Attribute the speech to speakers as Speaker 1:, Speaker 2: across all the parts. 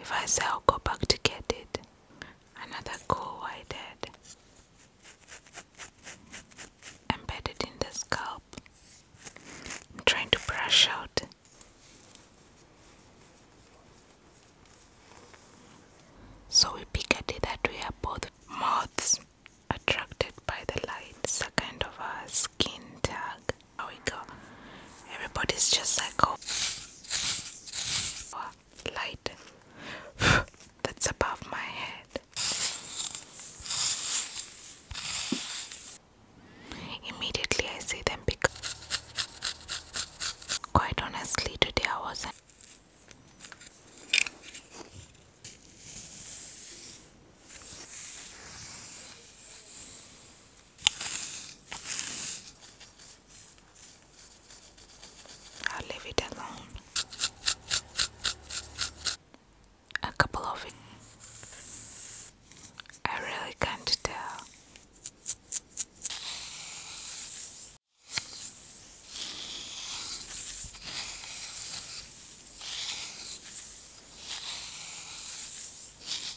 Speaker 1: If I say I'll go back to get it, another go I did. embedded in the scalp. I'm trying to brush out. So we pick a that we are both moths attracted by the lights. a kind of a skin tag. There we go. Everybody's just like, oh light that's above my head. Immediately I see them because quite honestly today I wasn't I'll leave it alone. A couple of it. I really can't tell.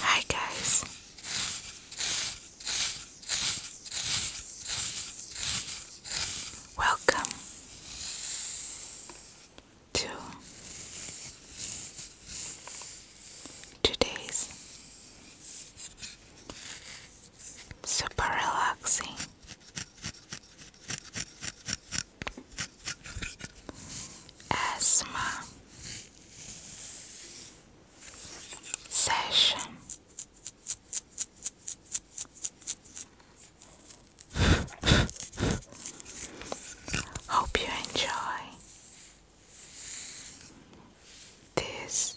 Speaker 1: Hi, guys. Welcome to today's super relaxing. Asthma session. Hope you enjoy this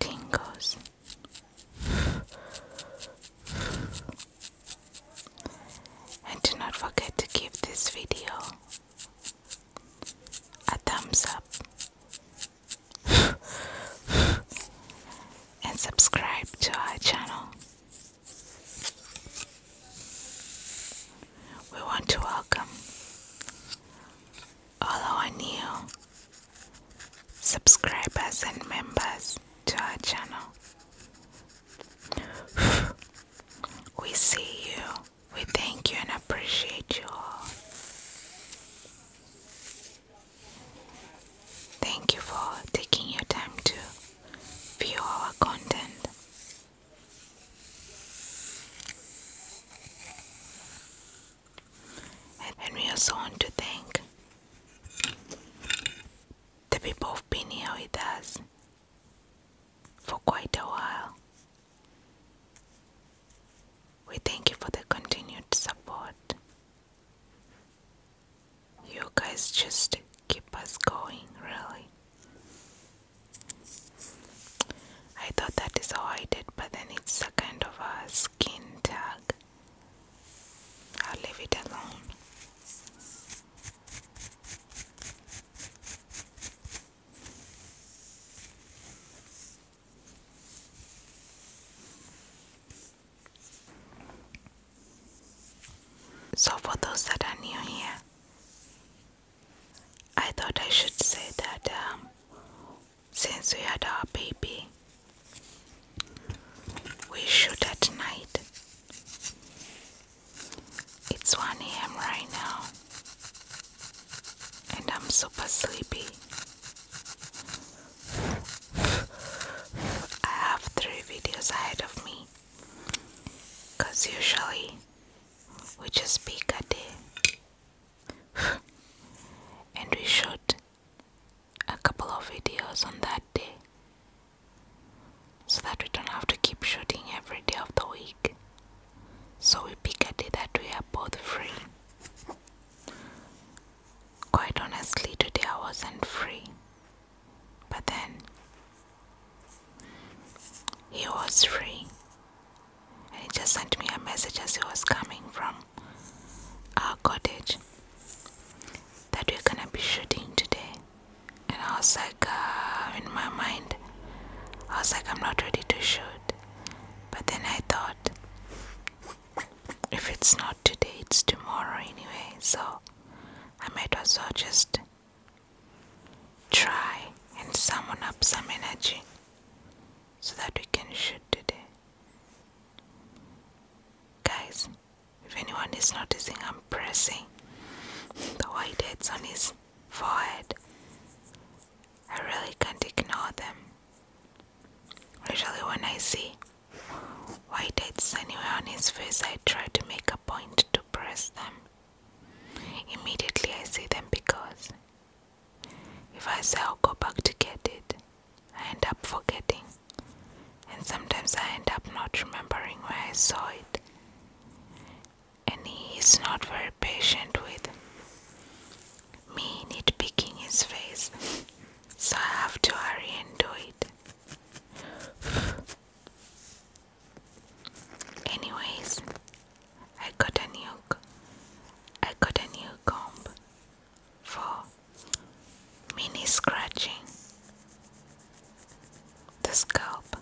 Speaker 1: tingles and do not forget to give this video a thumbs up and subscribe to our channel. We want to welcome although I knew subscribers and members to our channel. we see you, we thank you, and appreciate you all. Thank you for taking your time to view our content and we are soon to thank the people who've been here with us for quite a while. We thank you for the continued support. You guys just keep us going, really. I thought that is how I did, but then it's a kind of a skin tag. I'll leave it alone. So, for those that are new here, I thought I should say that um, since we had our baby. We shoot at night. It's 1 a.m. right now, and I'm super sleepy. I have three videos ahead of me because usually we just pick a day and we shot a couple of videos on that day so that we don't have to keep shooting every day of the week. So we pick a day that we are both free. Quite honestly, today I wasn't free, but then he was free, and he just sent me a message as he was coming from our cottage that we're gonna be shooting today. And I was like, uh, in my mind, I was like, I'm not ready to shoot. But then I thought, if it's not today, it's tomorrow anyway, so I might as well just try and summon up some energy so that we can shoot today. Guys, if anyone is noticing, I'm pressing the whiteheads on his forehead. I really can't ignore them. Usually, when I see whiteheads anywhere on his face, I try to make a point to press them. Immediately, I see them because if I say I'll go back to get it, I end up forgetting. And sometimes I end up not remembering where I saw it. And he is not very patient with me picking his face, so I have to hurry and do it. Anyways, I got a new I got a new comb for mini scratching the scalp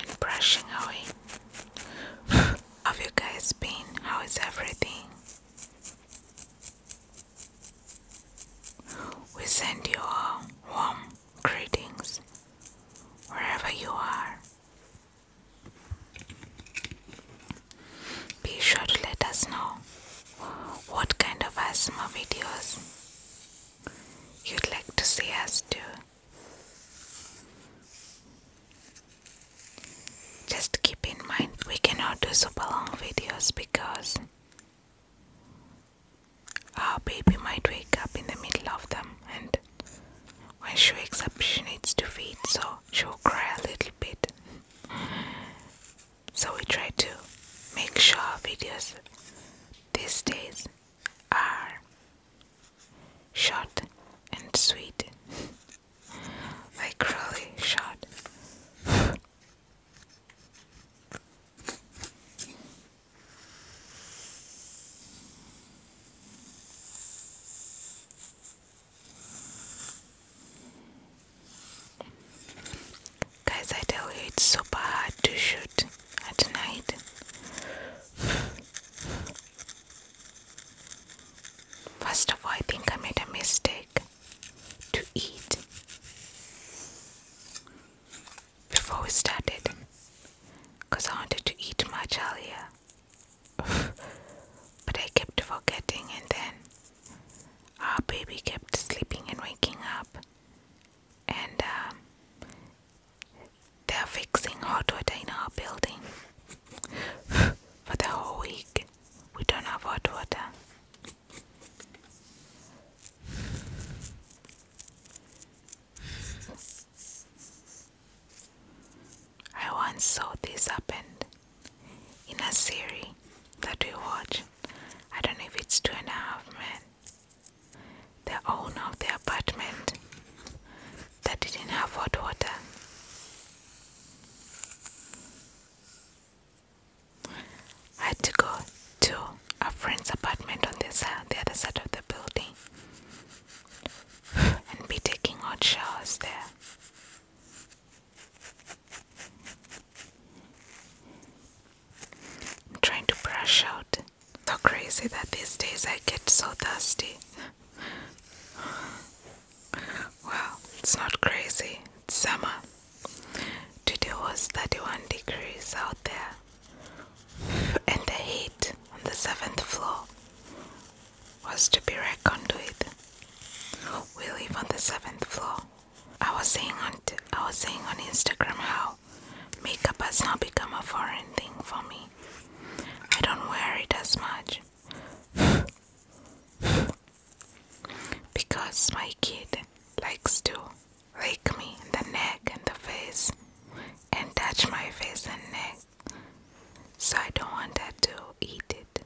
Speaker 1: and brushing away. Have you guys been? How is everything? We send you warm greetings wherever you are. Be sure to let us know what kind of asthma videos you'd like to see us do. Just keep in mind we cannot do super long videos because our baby might wake up in the middle of them and when she wakes up, she needs to feed, so she'll cry a little bit. So, we try to make sure our videos these days are short and sweet, like short. Guys, I tell you, it's super hard to shoot at night. First of all, I think I made a mistake to eat before we started because I wanted to eat much earlier. but I kept forgetting, and then our baby kept sleeping and waking up. And um, they're fixing hot water in our building for the whole week. We don't have hot water. I once saw this happen in a series that we watch. I don't know if it's two and a half men. The owner of the apartment that didn't have hot water. I had to go to a friend's apartment on the, side, the other side of the building and be taking hot showers there. I'm trying to brush out. So crazy that these days I get so dusty. well, it's not crazy, it's summer. Today was 31 degrees out there and the heat on the seventh floor was to be reckoned with. We live on the seventh floor. I was saying on t I was saying on Instagram how makeup has now become a foreign thing for me. I don't wear it as much because my kid likes to rake me in the neck and the face and touch my face and neck. So I don't want that to eat it.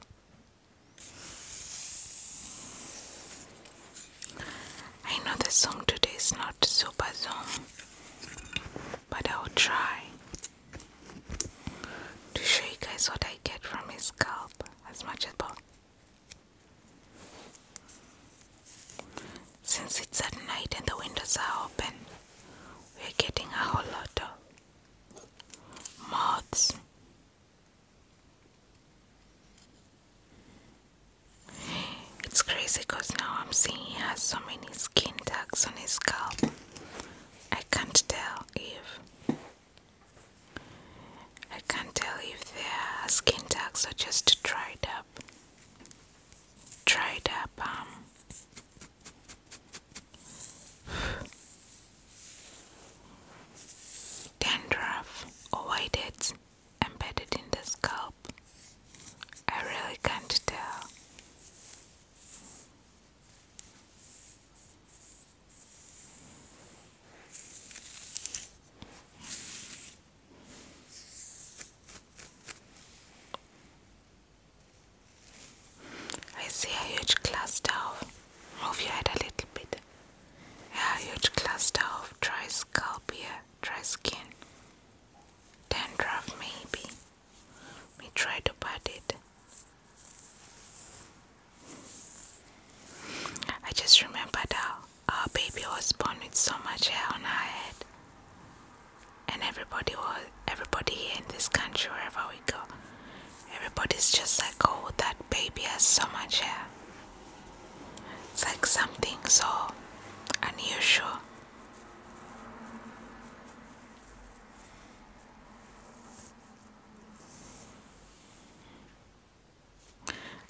Speaker 1: I know the song today is not super Zoom, but I will try to show you guys what I get from his scalp as much as possible. Since it's at night and the windows are open, we're getting a whole lot of moths. It's crazy because now I'm seeing he has so many skin tags on his scalp. I can't tell if I can't tell if they are skin tags or just dried up dried up um, dandruff or white embedded in the scalp. I really can't tell. I see a huge cluster of. Move your head a little bit. A huge cluster of dry scalp dry skin. Dandruff, maybe. We try to pat it. I just remember that our baby was born with so much hair on her head and everybody was everybody here in this country wherever we go everybody's just like oh that baby has so much hair it's like something so unusual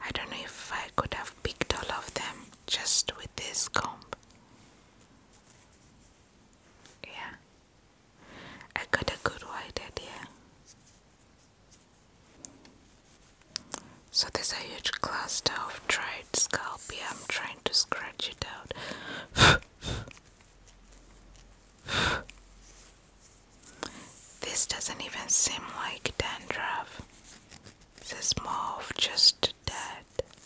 Speaker 1: I don't know if I could have picked all of them just with this comb. Yeah, I got a good white idea. So there's a huge cluster of dried scalp here. I'm trying to scratch it out. this doesn't even seem like dandruff. This is more of just dirt.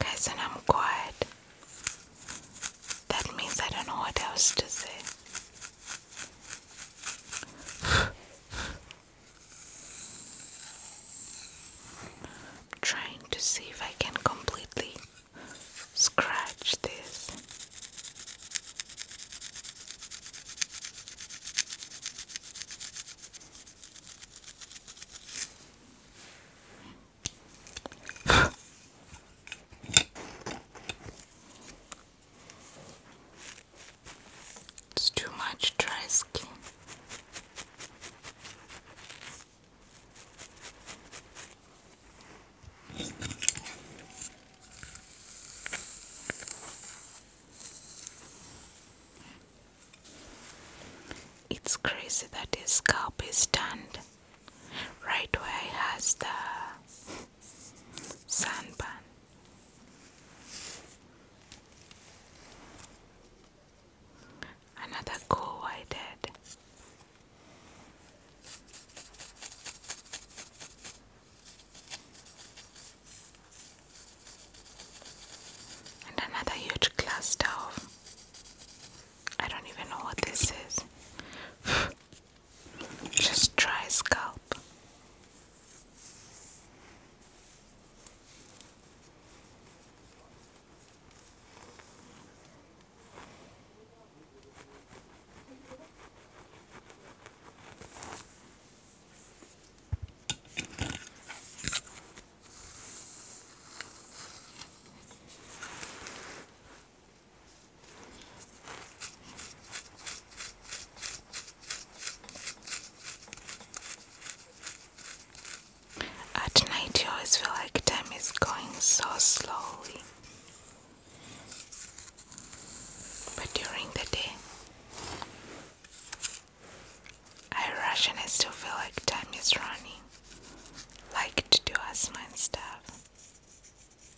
Speaker 1: Okay, so I'm quiet. That means I don't know what else to say i trying to see if I can completely scratch this. It's too much dry skin. It's crazy that his scalp is tanned right where he has the Sanban. Another cool I And another huge cluster of I don't even know what this is. Just try scalp. At night, you always feel like time is going so slowly, but during the day, I rush and I still feel like time is running, like to do asthma and stuff.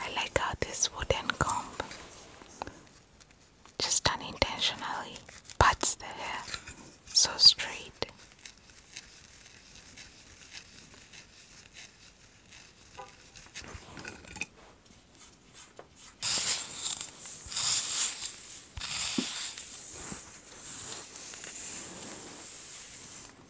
Speaker 1: I like how this wooden comb just unintentionally puts the hair so straight.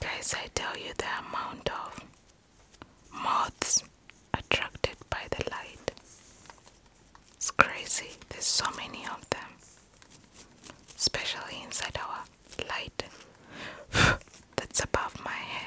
Speaker 1: Guys, I tell you the amount of moths attracted by the light. It's crazy, there's so many of them, especially inside our light that's above my head.